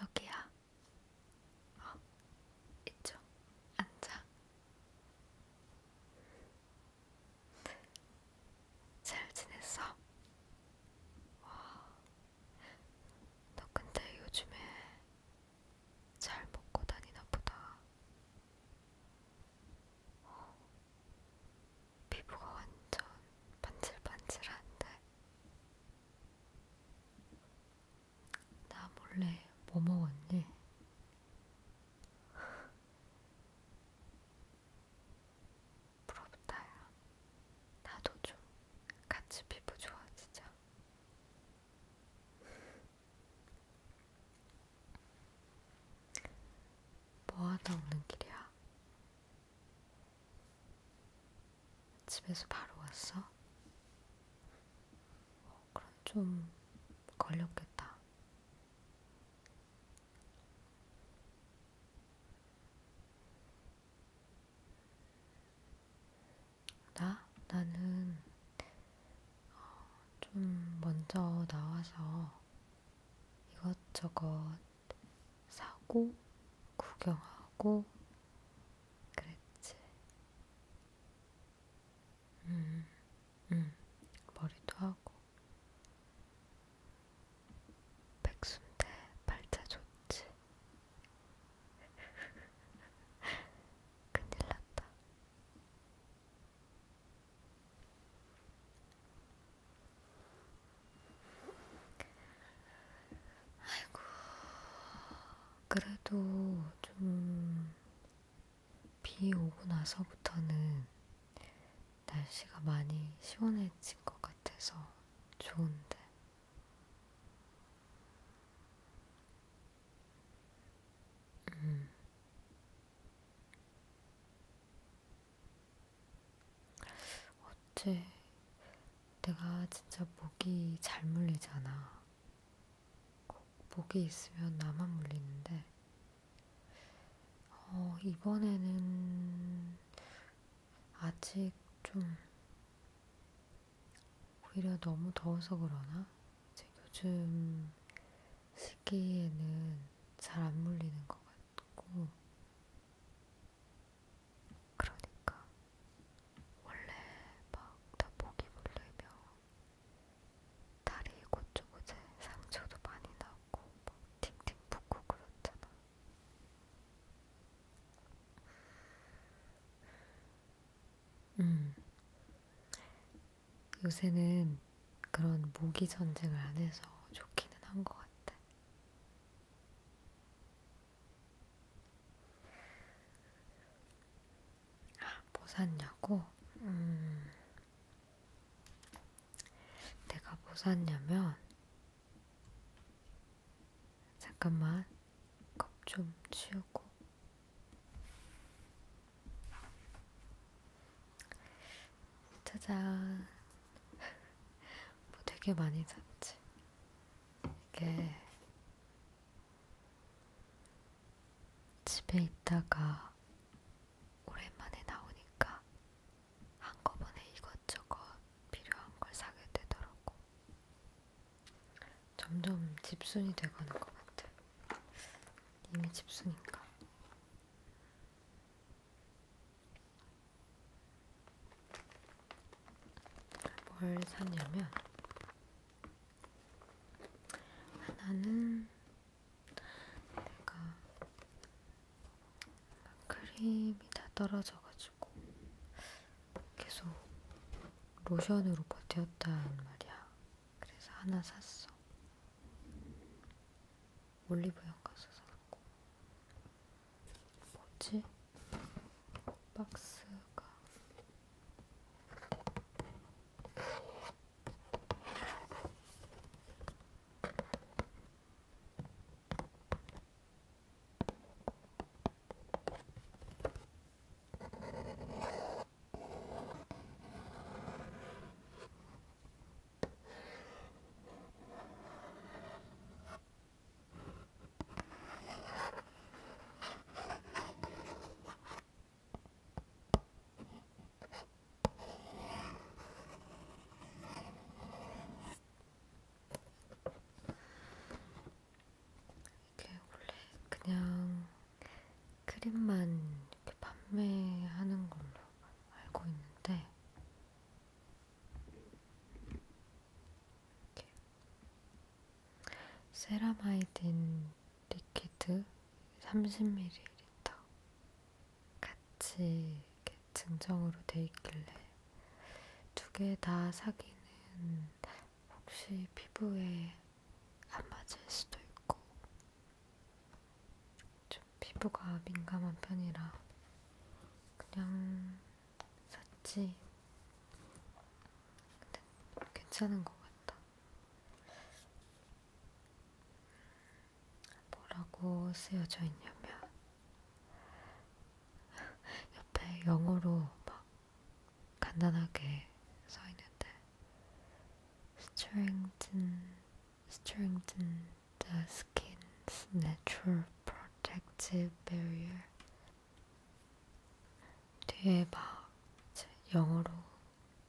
여기야. 어, 이쪽 앉아. 잘 지냈어? 와, 너 근데 요즘에 잘 먹고 다니나 보다. 어, 피부가 완전 반질반질한데 나 몰래 뭐 먹었니? 부럽다야. 나도 좀 같이 피부 좋아지자. 뭐하다 오는 길이야? 집에서 바로 왔어? 어, 그럼 좀 걸렸겠다. 나? 나는 어, 좀 먼저 나와서 이것저것 사고, 구경하고, 그랬지. 음, 음, 머리도 하고. 백순대 발차 좋지. 큰일 났다. 아이고, 그래도 좀, 비 오고 나서부터는 날씨가 많이 시원해진 것 같아서 좋은데. 음. 어째 내가 진짜 목이 잘 물리잖아. 꼭 목이 있으면 나만 물리는데, 어, 이번에는 아직 좀 오히려 너무 더워서 그러나? 이제 요즘 시기에는 잘 안 물리는 것 같고, 그러니까 원래 막다 목이 물리면 다리 곳곳에 상처도 많이 나고 막 팅팅 붓고 그렇잖아. 음. 요새는 그런 모기 전쟁을 안 해서 좋기는 한 것 같아. 아, 뭐 샀냐고? 음, 내가 뭐 샀냐면, 잠깐만, 컵 좀 치우고. 짜잔. 뭐 되게 많이 샀지. 이게 집에 있다가 오랜만에 나오니까 한꺼번에 이것저것 필요한 걸 사게 되더라고. 점점 집순이 돼가는 것 같아. 이미 집순인가? 뭘 샀냐면 하나는 내가 크림이 다 떨어져가지고 계속 로션으로 버텼단 말이야. 그래서 하나 샀어. 올리브영 가서 샀고 뭐지? 박스가 이게 원래 그냥 크림만 이렇게 판매하는 걸로 알고 있는데 이렇게. 세라마이딘 리퀴드 30ml 같이 이렇게 증정으로 돼 있길래 두 개 다 사기는 혹시 피부에 안 맞을 수도 있고 좀 피부가 민감한 편이라 그냥 샀지. 근데 괜찮은 것 같다. 뭐라고 쓰여져 있냐면 옆에 영어로 막 간단하게 써 있는데 strengthen strengthen the skin's natural protective barrier. 뒤에 막 영어로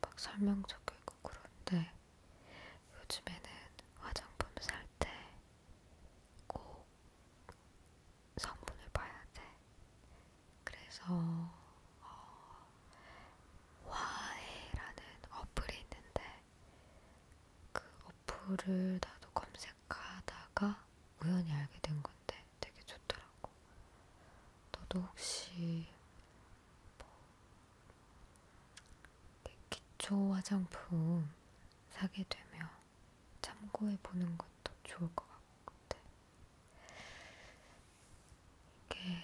막 설명 적혀 있고 그런데 요즘에는 화장품 살 때 꼭 성분을 봐야 돼. 그래서 어, 화해라는 어플이 있는데 그 어플을 나도 검색하다가 우연히 알게 된 건데 되게 좋더라고. 너도 혹시 뭐 기초 화장품 사게 되면 참고해 보는 것도 좋을 것 같아. 이게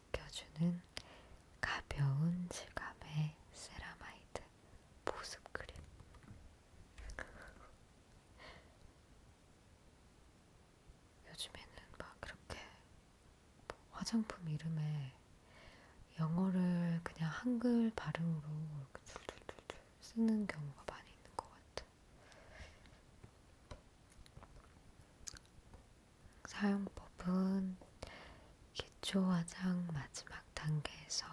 지켜주는 가벼운 질감의 세라마이드 보습 크림. 요즘에는 막 그렇게 뭐 화장품 이름에 영어를 그냥 한글 발음으로 둘둘둘둘 쓰는 경우가 많이 있는 것 같아. 사용법은 기초 화장 마지막 단계에서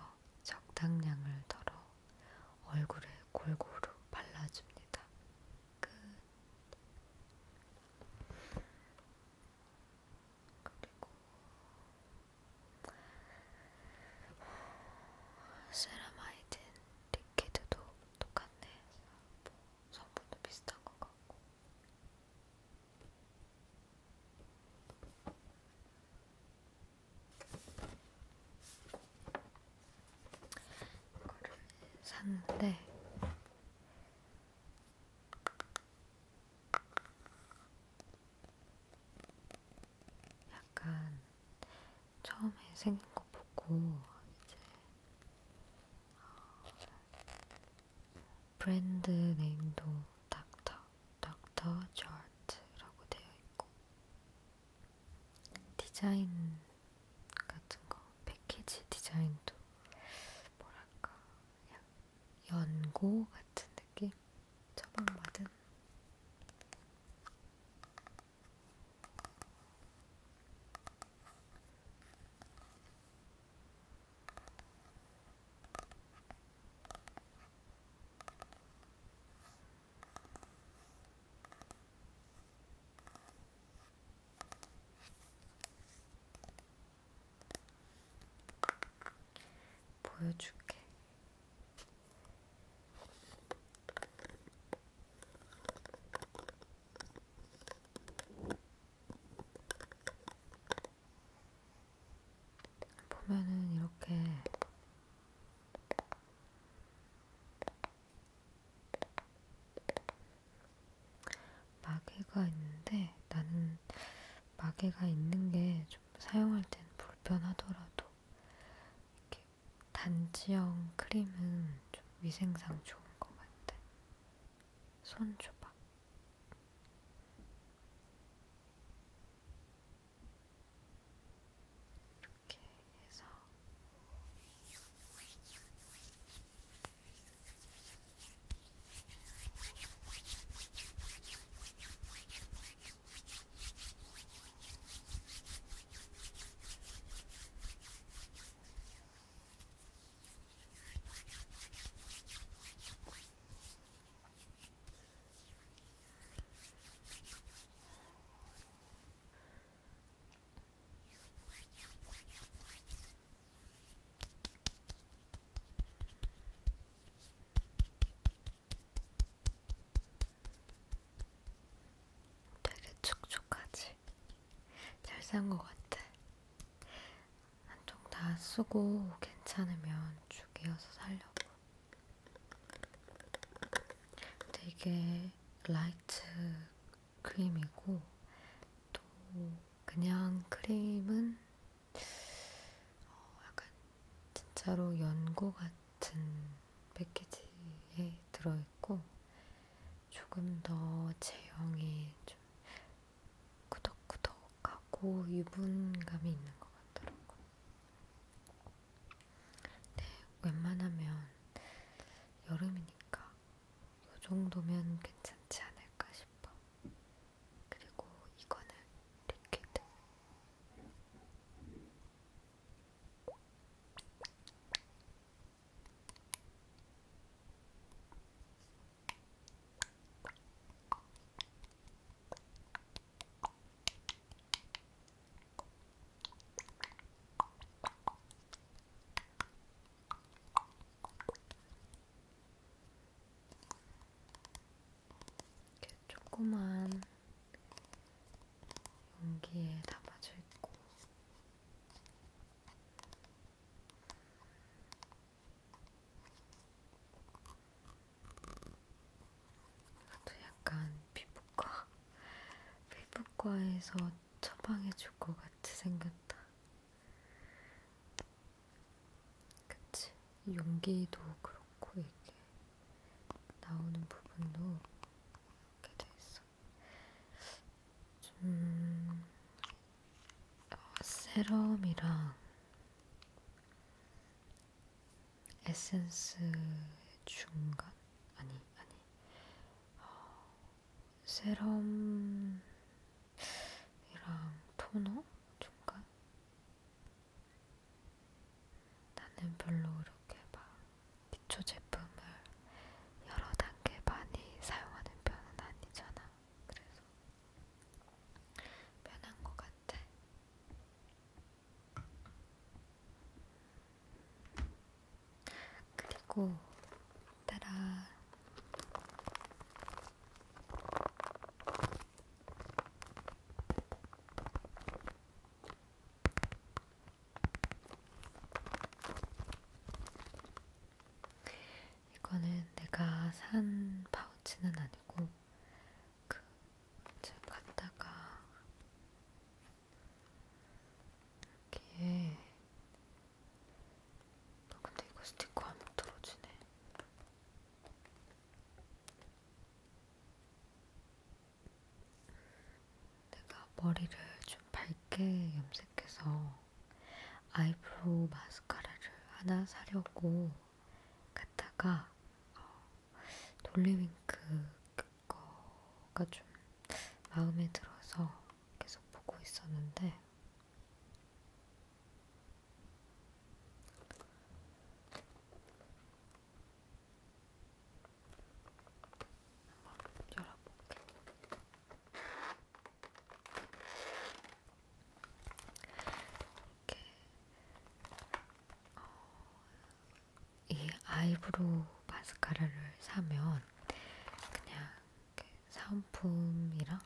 적당량을 덜어 얼굴에 골고루 발라줍니다. 끝. 그리고 세라마이딘 리퀴드도 똑같네. 뭐 성분도 비슷한 것 같고. 이거를 샀는데 약간 처음에 생긴 거 보고 이제 브랜드 네임도 닥터, 닥터 저트라고 되어 있고 디자인 같은 거, 패키지 디자인도 뭐랄까 연고 같은 느낌? 처방받은 보여줄게. 보면은 이렇게 마개가 있는데 나는 마개가 있는 게 좀 사용할 땐 불편하더라도 이렇게 단지형 크림은 좀 위생상 좋은 것 같아. 손 줘봐. 이렇게 해서 되게 촉촉하지? 잘산것 같아. 한쪽 다 쓰고 괜찮으면 쭉 이어서 살려고. 근데 이게 라이트 크림이고 또 그냥 크림은 어 약간 진짜로 연고 같은 패키지에 들어있고 조금 더 제형이 좀 구덕구덕하고 유분감이 있는 것 같더라고. 네, 웬만하면 여름이니까 이 정도면 괜찮지 않을까 싶어. 그리고 이거는 리퀴드. 이렇게 조그만 용기에 담아져 있고 이것도 약간 피부과, 피부과에서 처방해줄 것 같이 생겼다. 그치? 용기도 그렇고 이게 나오는 부분도 이렇게 돼 있어. 좀 어, 세럼이랑 에센스 중간? 아니, 아니. 어, 세럼이랑 토너? 중간? 나는 별로 이렇게 막 기초 제품을 여러 단계 많이 사용하는 편은 아니잖아. 그래서 편한 것 같아. 그리고 따라 이거는 내가 산 파우치는 아니고 그 제가 갔다가 여기에 어, 근데 이거 스티커 안 떨어지네. 내가 머리를 좀 밝게 염색해서 아이브로우 마스카라를 하나 사려고 갔다가 어, 돌리윙크 그거가 좀 마음에 들어서 계속 보고 있었는데 한번 열어볼게. 이렇게 어, 이 아이브로우 마스카라를 사면 그냥 이렇게 사은품이랑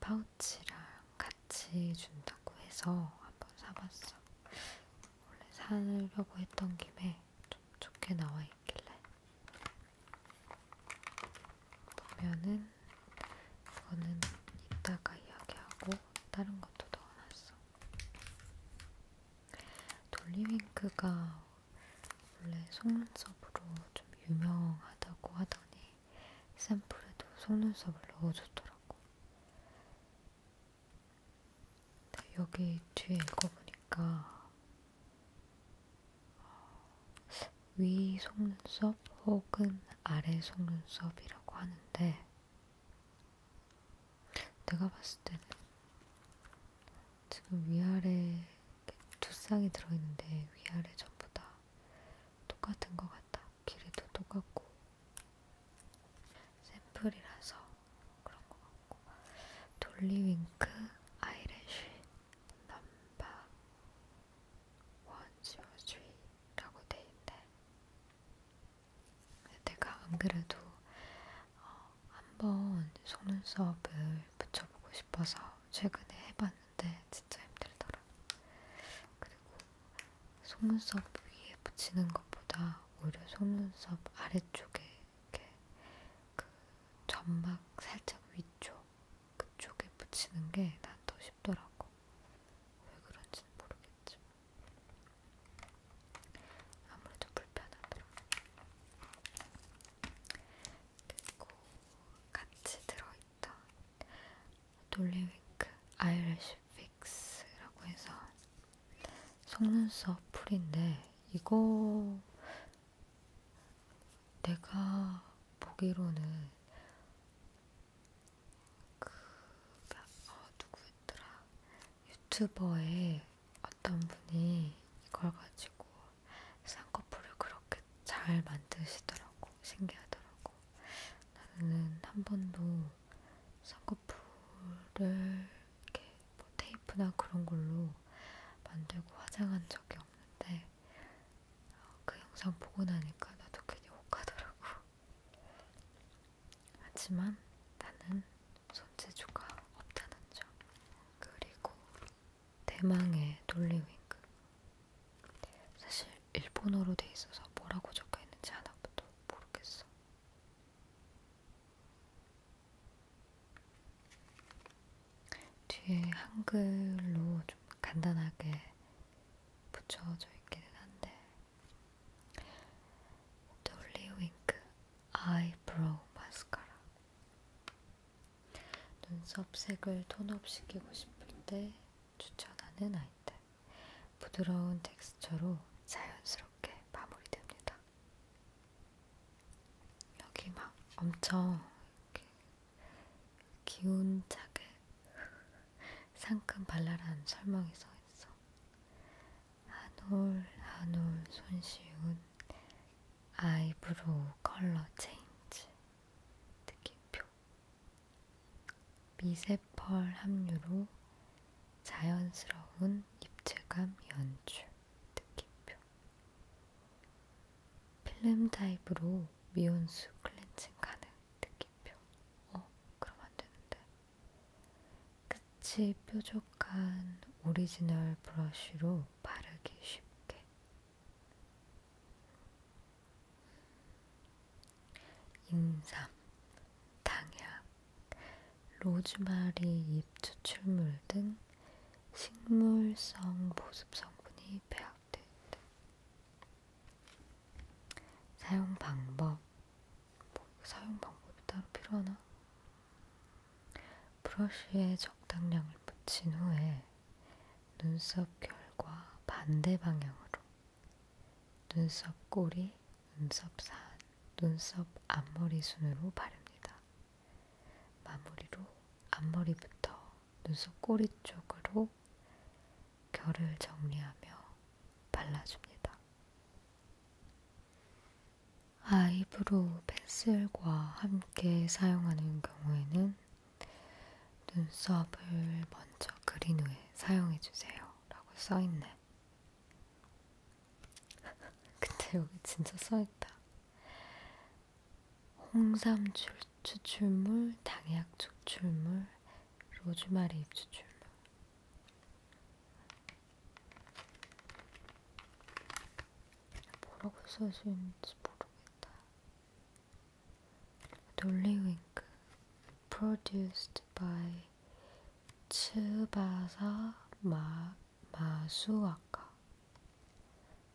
파우치랑 같이 준다고 해서 한번 사봤어. 원래 사려고 했던 김에 좀 좋게 나와 있길래 보면은 이거는 이따가 이야기하고 다른 것도 넣어놨어. 돌리윙크가 원래 속눈썹으로 좀 유명하다고 하더니 샘플에도 속눈썹을 넣어줬더라고. 네, 여기 뒤에 읽어보니까 어, 위 속눈썹 혹은 아래 속눈썹이라고 하는데 내가 봤을 때는 지금 위아래 두 쌍이 들어있는데 위아래 전부 다 똑같은 것 같다. 길이도 똑같고 샘플이라서 그런 것 같고 돌리윙크, 아이래쉬, 넘바 원지워주의라고 돼있는데 내가 안 그래도 어, 한번 속눈썹을 붙여보고 싶어서 최근에 해봤는데 진짜 힘들더라. 그리고 속눈썹 위에 붙이는 것보다 오히려 속눈썹 아래쪽에 이렇게 그 점막 살짝 위쪽 그쪽에 붙이는 게 난 더 쉽더라고. 왜 그런지는 모르겠지만 아무래도 불편하더라. 그리고 같이 들어있던 놀리윙크 아이래쉬 픽스라고 해서 속눈썹 풀인데 이거 내가 보기로는 그 어, 누구였더라 유튜버의 어떤 분이 이걸 가지고 쌍꺼풀을 그렇게 잘 만드시더라고 신기하더라고 나는 한 번도 쌍꺼풀을 이렇게 뭐 테이프나 그런 걸로 만들고 화장한 적이 없는데 어, 그 영상 보고 나니까 나도 괜히 혹하더라고. 하지만 나는 손재주가 없다는 점. 그리고 대망의 돌리윙크. 사실 일본어로 돼 있어서 뭐라고 적혀 있는지 하나부터 모르겠어. 뒤에 한글로 좀 간단하게 붙여져 있기는 한데 돌리윙크 아이브로우 마스카라 눈썹 색을 톤업 시키고 싶을 때 추천하는 아이템 부드러운 텍스처로 자연스럽게 마무리됩니다. 여기 막 엄청 이렇게 기운차게 상큼 발랄한 설명이 써있어. 한 올 한 올 손쉬운 아이브로우 컬러 체인지 느낌표 미세펄 함유로 자연스러운 입체감 연출 느낌표 필름 타입으로 미온수 클렌징 가능 느낌표 어? 그럼 안되는데 끝이 뾰족한 오리지널 브러쉬로 바르기 쉽게 인삼, 당약, 로즈마리 잎 추출물 등 식물성 보습 성분이 배합되어 있다. 사용 방법 뭐 사용 방법이 따로 필요하나? 브러쉬에 적당량을 묻힌 후에 눈썹 결과 반대 방향으로 눈썹 꼬리, 눈썹산, 눈썹 앞머리 순으로 바릅니다. 마무리로 앞머리부터 눈썹 꼬리 쪽으로 결을 정리하며 발라줍니다. 아이브로우 펜슬과 함께 사용하는 경우에는 눈썹을 먼저 그린 후에 사용해주세요. 라고 써있네요. 그때 여기 진짜 써있다. 홍삼 출, 추출물, 당약 추출물, 로즈마리 잎 추출물. 뭐라고 써져 있는지 모르겠다. 놀리윙크 produced by 츠바사 막 마수아카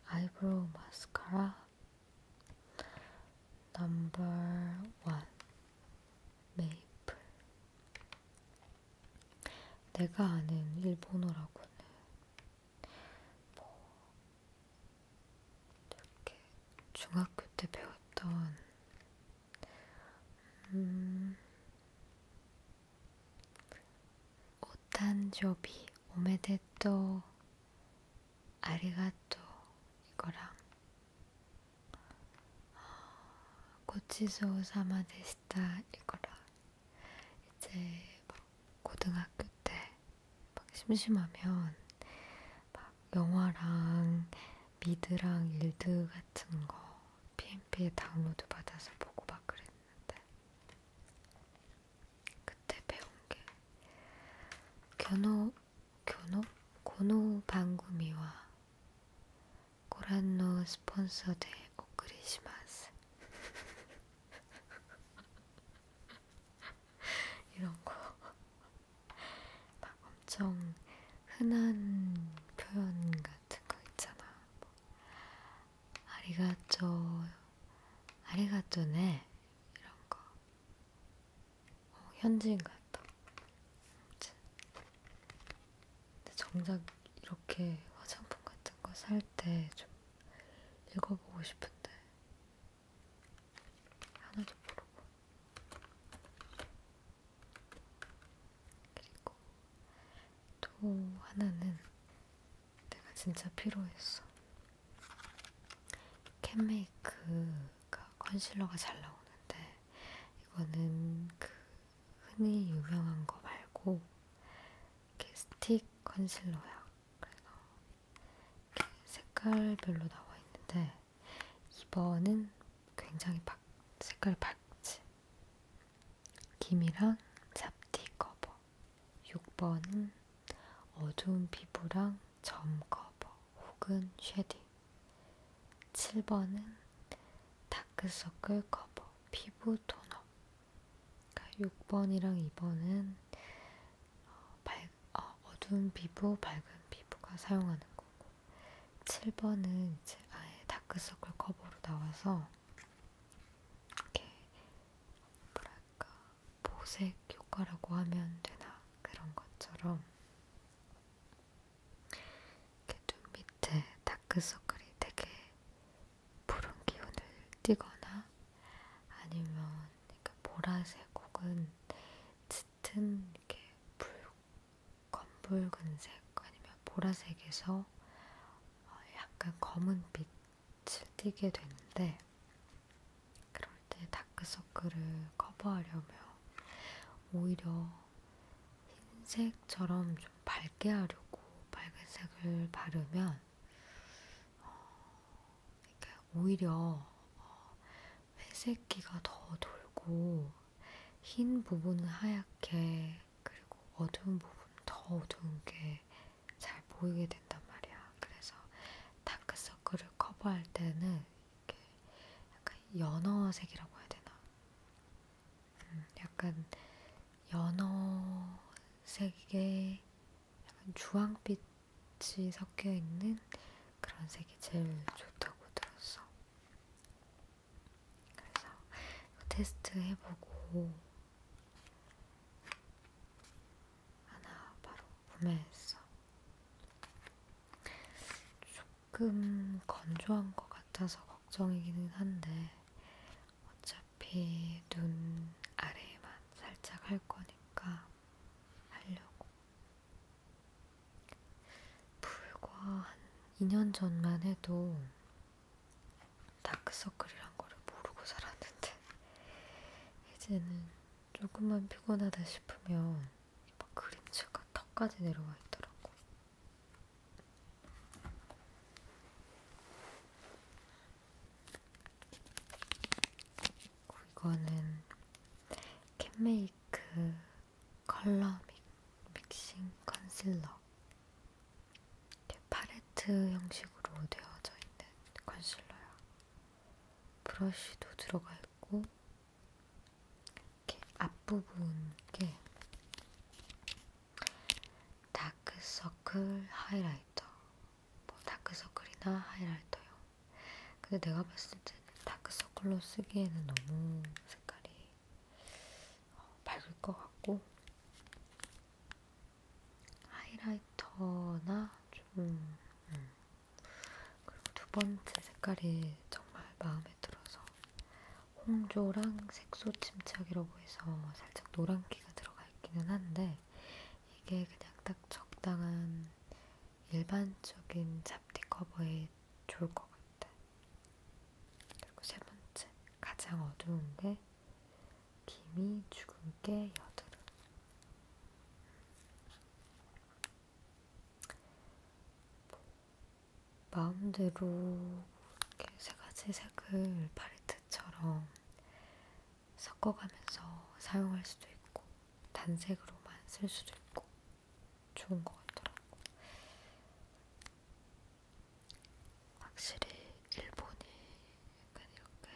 아이브로우 마스카라 넘버 원 메이플 내가 아는 일본어라고는 뭐 이렇게 중학교 때 배웠던 음, 오誕生 오메데또 아리가또 이거랑 고치소 사마데시타 이거랑 이제 막 고등학교 때 막 심심하면 막 영화랑 미드랑 일드 같은 거 PMP에 다운로드 받아서 보고 막 그랬는데 그때 배운 게 견호, 견호? 고노 방구미와 고란노 스폰서 대 오크리시마스 이런 거 막 엄청 흔한 표현 같은 같은 거 있잖아. 뭐, 아리가또, 아리가또네 이런 거. 어, 현지인 같다. 근데 정작 이렇게 화장품 같은 거 살 때 좀 읽어보고 싶은데 하나도 모르고 그리고 또 하나는 내가 진짜 필요했어. 캔메이크가 컨실러가 잘 나오는데 이거는 그 흔히 유명한 거 말고 이렇게 스틱 컨실러야. 그래서 이렇게 색깔별로 나와 있는데 이번은 굉장히 박, 색깔 밝지 김이랑 잡티 커버. 6번은 어두운 피부랑 점 커버 혹은 쉐딩. 7번은 다크서클 커버, 피부 토너. 그러니까 6번이랑 2번은 어, 밝, 어, 어두운 피부, 밝은 피부가 사용하는 거고, 7번은 이제 아예 다크서클 커버로 나와서 이렇게 뭐랄까 보색 효과라고 하면 되나 그런 것처럼 이렇게 눈 밑에 다크서클이 되게 푸른 기운을 띠거나 아니면 그러니까 보라색 혹은 짙은 이렇게 붉 검붉은색 아니면 보라색에서 어, 약간 검은빛을 띠게 되는데 그럴 때 다크서클을 커버하려면 오히려 흰색처럼 좀 밝게 하려고 밝은색을 바르면 어, 오히려 어, 회색기가 더 돌고 흰 부분은 하얗게, 그리고 어두운 부분 더 어두운 게 잘 보이게 된단 말이야. 그래서 다크서클을 커버할 때는 이렇게 약간 연어색이라고 해야 되나? 음, 약간 연어색에 약간 주황빛이 섞여 있는 그런 색이 제일 좋다고 들었어. 그래서 테스트 해보고 하나 바로 구매했어. 조금 건조한 것 같아서 걱정이기는 한데 어차피 눈 아래에만 살짝 할 거니까 하려고. 불과 한 2년 전만 해도 다크서클이란 거를 모르고 살았는데 이제는 조금만 피곤하다 싶으면 막 그림체가 턱까지 내려와 있더라고. 이거는 캔메이크 컬러 믹싱 컨실러 팔레트 형식으로 되어져 있는 컨실러야. 브러쉬도 들어가 있고 이렇게 앞부분 게 다크서클 하이라이터 뭐 다크서클이나 하이라이터요. 근데 내가 봤을 때 다크서클로 쓰기에는 너무 색깔이 밝을 것 같고 하이라이터나 좀 음. 그리고 두 번째 색깔이 정말 마음에 들어서 홍조랑 색소 침착이라고 해서 살짝 노란기가 들어가 있기는 한데 이게 그냥 딱 적당한 일반적인 잡티 커버에 좋을 것 같아. 그리고 세 번째, 가장 어두운데 김이 죽은 게 여드름. 마음대로 이렇게 세 가지 색을 팔레트처럼 섞어가면서 사용할 수도 있고, 단색으로만 쓸 수도 있고, 좋은 것 같더라고. 확실히 일본이 약간 이렇게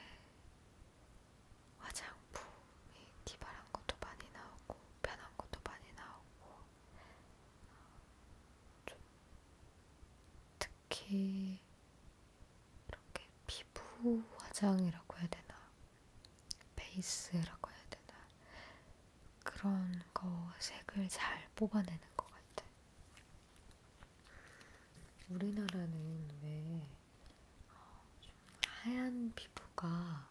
화장품이 기발한 것도 많이 나오고 편한 것도 많이 나오고 어, 좀 특히 이렇게 피부 화장이라고 해야 되나 베이스라고 해야 되나 그런 거 색을 잘 뽑아내는 것 같아. 우리나라는 왜 어, 좀 하얀 피부가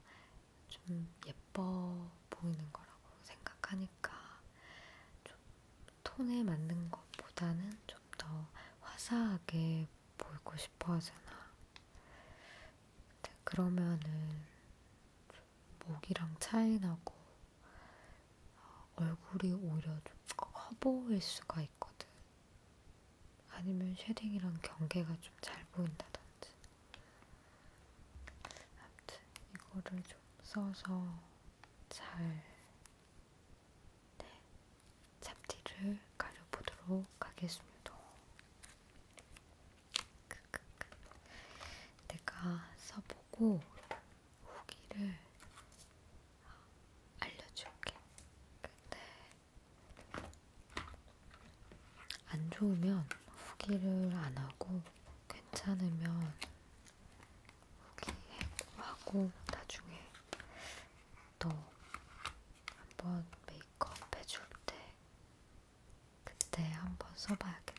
좀 예뻐 보이는 거라고 생각하니까 좀 톤에 맞는 것보다는 좀 더 화사하게 보이고 싶어 하잖아. 그러면은 목이랑 차이 나고 어, 얼굴이 오히려 좀커 보일 수가 있거든. 아니면 쉐딩이랑 경계가 좀 잘 보인다든지. 아무튼 이거를 좀 써서 잘 네, 잡티를 가려보도록 하겠습니다. 내가 써보고 후기를 알려줄게. 근데 안 좋으면 후기를 안 하고 괜찮으면 후기하고 나중에 또 한 번 메이크업 해줄 때 그때 한 번 써봐야겠다.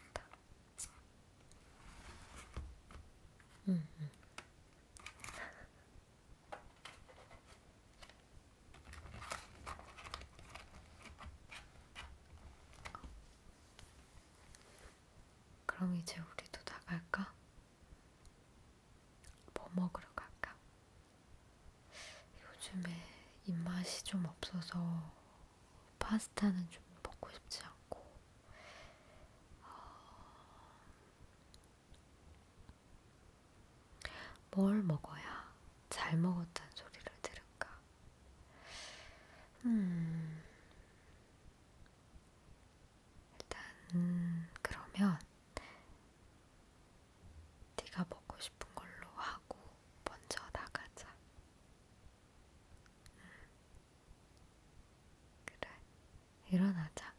음, 음. 그럼 이제 우리도 나갈까? 뭐 먹으러 갈까? 요즘에 입맛이 좀 없어서 파스타는 좀 먹고 싶지 않고 아, 뭘 먹어야 잘 먹었다는 소리를 들을까? 음... 일단 그러면 네가 먹고 싶은 걸로 하고 먼저 나가자. 그래, 일어나자.